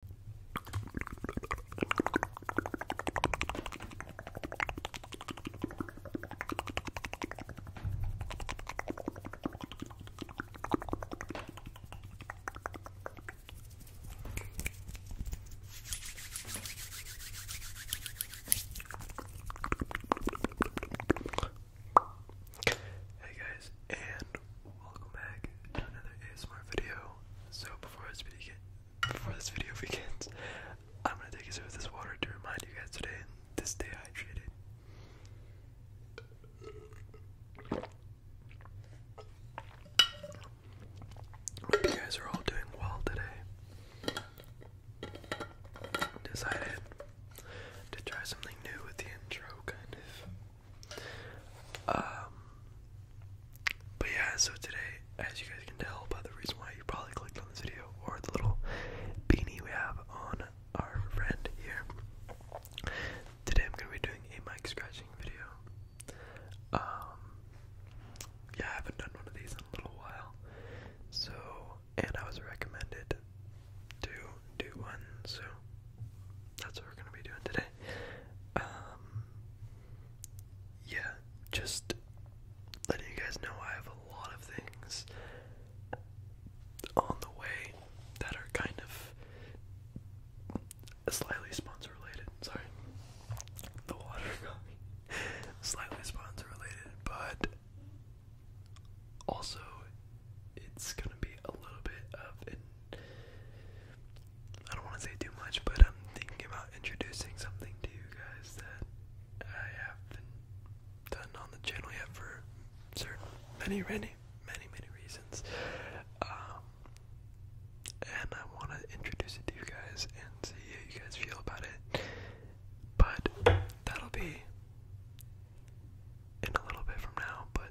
Hey guys, and welcome back to another ASMR video. So before this video begins, I'm gonna take a sip of this water to remind you guys today to stay hydrated. Hope you guys are all doing well today. Decided to try something new with the intro, kind of. Um, but yeah, so today, as you guys can tell by the reason why you probably clicked on this video or the little beanie we have on our friend here, today I'm gonna be doing a mic scratching video. Um, yeah, I haven't done one of these in a little while, so and I was recommended to do one, so that's what we're gonna be doing today. Um, yeah, just letting you guys know I have a lot of things on the way that are kind of slightly sponsor related. Sorry, the water got me. Slightly sponsor related, but also it's gonna be a little bit of an I don't want to say too much, but I'm thinking about introducing something to you guys that I haven't done on the channel yet for certain many, many, many, many reasons. Um, and I want to introduce it to you guys and see how you guys feel about it. But that'll be in a little bit from now, but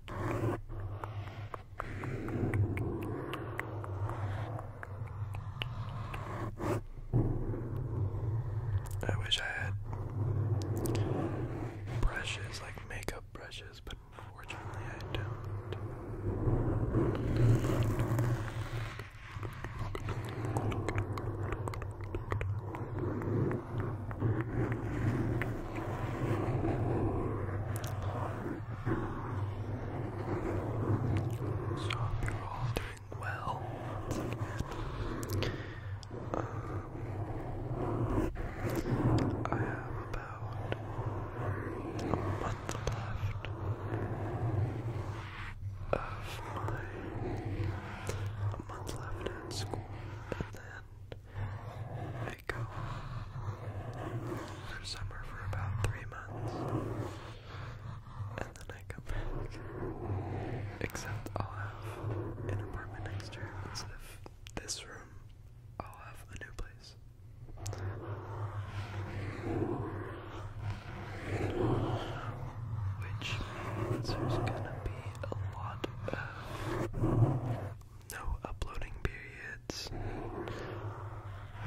I wish I had brushes like makeup brushes, but unfortunately I don't. So you're all doing well. I have about a month left of my a month left in school and then Mexico for summer for about three months, and then I come back. Except I'll have an apartment next year instead of this room. I'll have a new place. Which means there's gonna be a lot of no uploading periods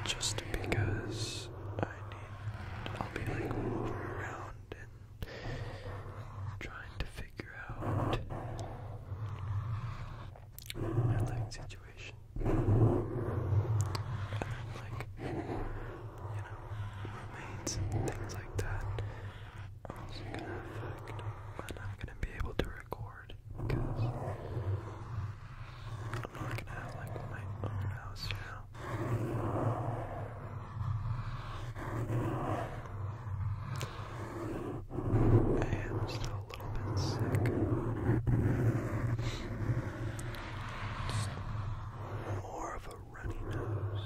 just because I need I'll be like moving around and trying to figure out my situation. And then like you know, roommates and things like that also gonna affect I'm gonna be able to record because I'm not gonna have like my own house now. I am still a little bit sick. more of a runny nose.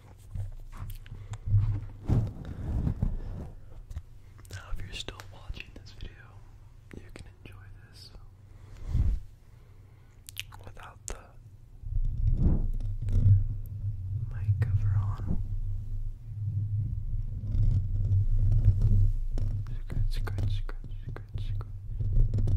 Now, if you're still watching this video, you can enjoy this without the mic cover on. Scratch, scratch, scratch, scratch, scratch.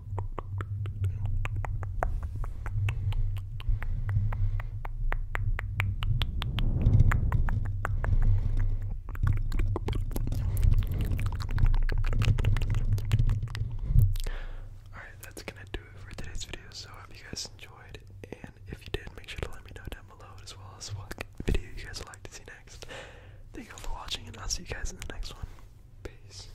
Alright, that's gonna do it for today's video. So, I hope you guys enjoyed. And if you did, make sure to let me know down below as well as what video you guys would like to see next. Thank you all for watching, and I'll see you guys in the next one. Peace.